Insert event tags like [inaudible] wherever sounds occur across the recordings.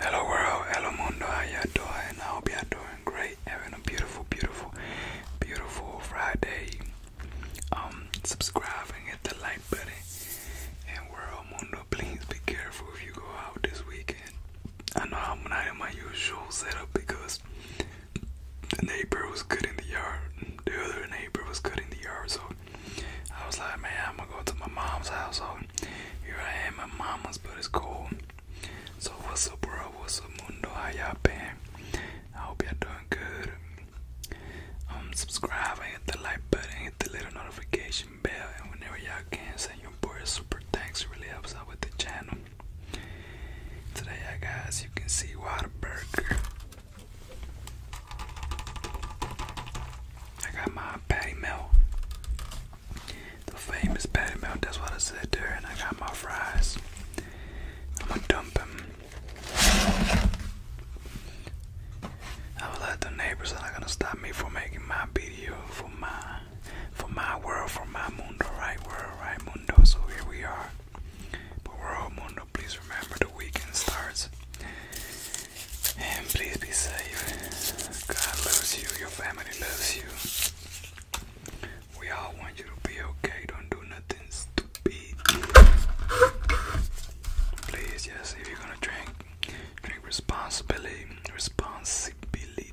Hello world, hello mundo, how y'all doing? I hope you doing great, having a beautiful, beautiful, beautiful Friday. Um, subscribe and hit the like button. And world mundo, please be careful if you go out this weekend. I know I'm not in my usual setup because the neighbor was cutting the yard. The other neighbor was cutting the yard, so I was like, man, I'm gonna go to my mom's house. Here I am my mama's, but it's cool. So what's up, bro? What's up, mundo? How y'all been? I hope y'all doing good. Um, subscribe and hit the like button, hit the little notification bell, and whenever y'all can, send your boy a super thanks. It really helps out with the channel. Today, I guys, you can see Burger. I got my patty melt. The famous patty melt, that's what I said there, and I got my fries. I'm gonna dump them. I will let the neighbors are not gonna stop me from making my video for my for my world, for my mundo, right world, right mundo. So here we are. But world mundo, please remember the weekend starts and please be safe. God loves you. Your family loves you. We all want you to be okay. Don't do nothing stupid. Please, yes, if you're gonna drink, drink responsibly. Responsibility.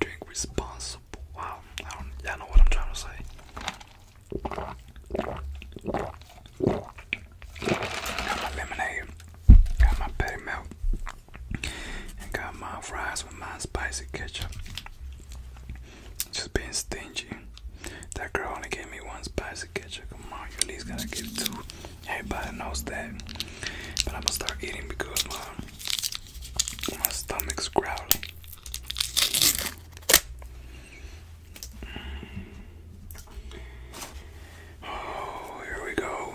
Drink responsible. Wow, I know what I'm trying to say. Got my lemonade, got my patty melt, and got my fries with my spicy ketchup. Just being stingy. That girl only gave me one spicy ketchup. Come on, you at least gotta give two. Everybody knows that. But I'm gonna start eating because my my stomach's growling. Oh, here we go.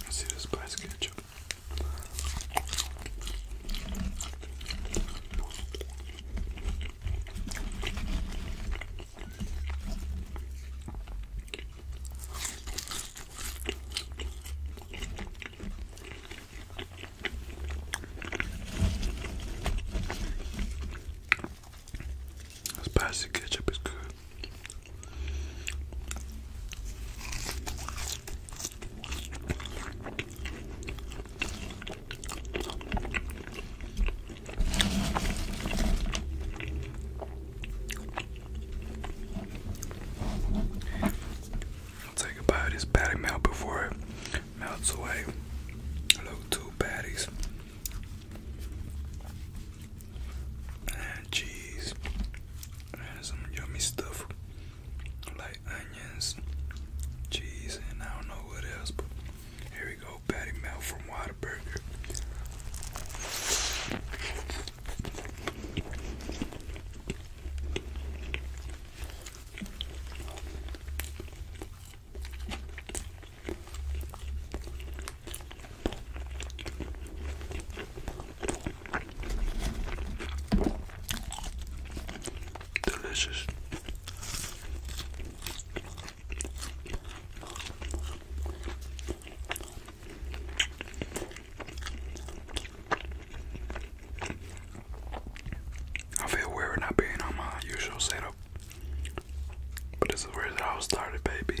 Let's see this basket. Spicy ketchup is good. I'll take a bite of this patty melt before it melts away. Hello, two patties and cheese and some yummy stuff like onions, cheese, and I don't know what else. But here we go, patty melt from Whataburger. Delicious. I feel weird not being on my usual setup, but this is where it all started, baby.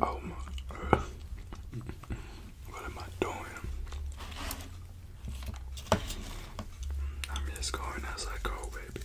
Oh my god. What am I doing? I'm just going as I go, baby.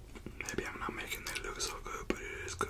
Maybe I'm not making it look so good, but it is good.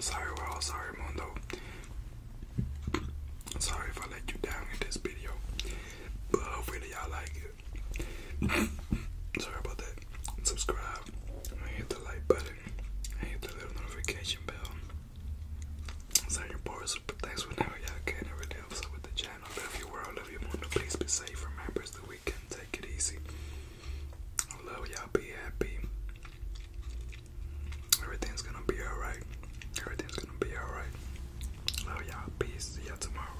Sorry world, sorry mundo. Sorry if I let you down in this video, but hopefully y'all like it. [coughs] sorry about that. Subscribe, subscribe hit the like button and hit the little notification bell. So your boys, thanks whenever y'all can every day episode with the channel. Love your world, love your mundo. Please be safe. Remember the weekend. Take it easy. I love y'all. Be happy. Everything's gonna be alright. Everything's gonna be alright. Love y'all. Peace. See y'all tomorrow.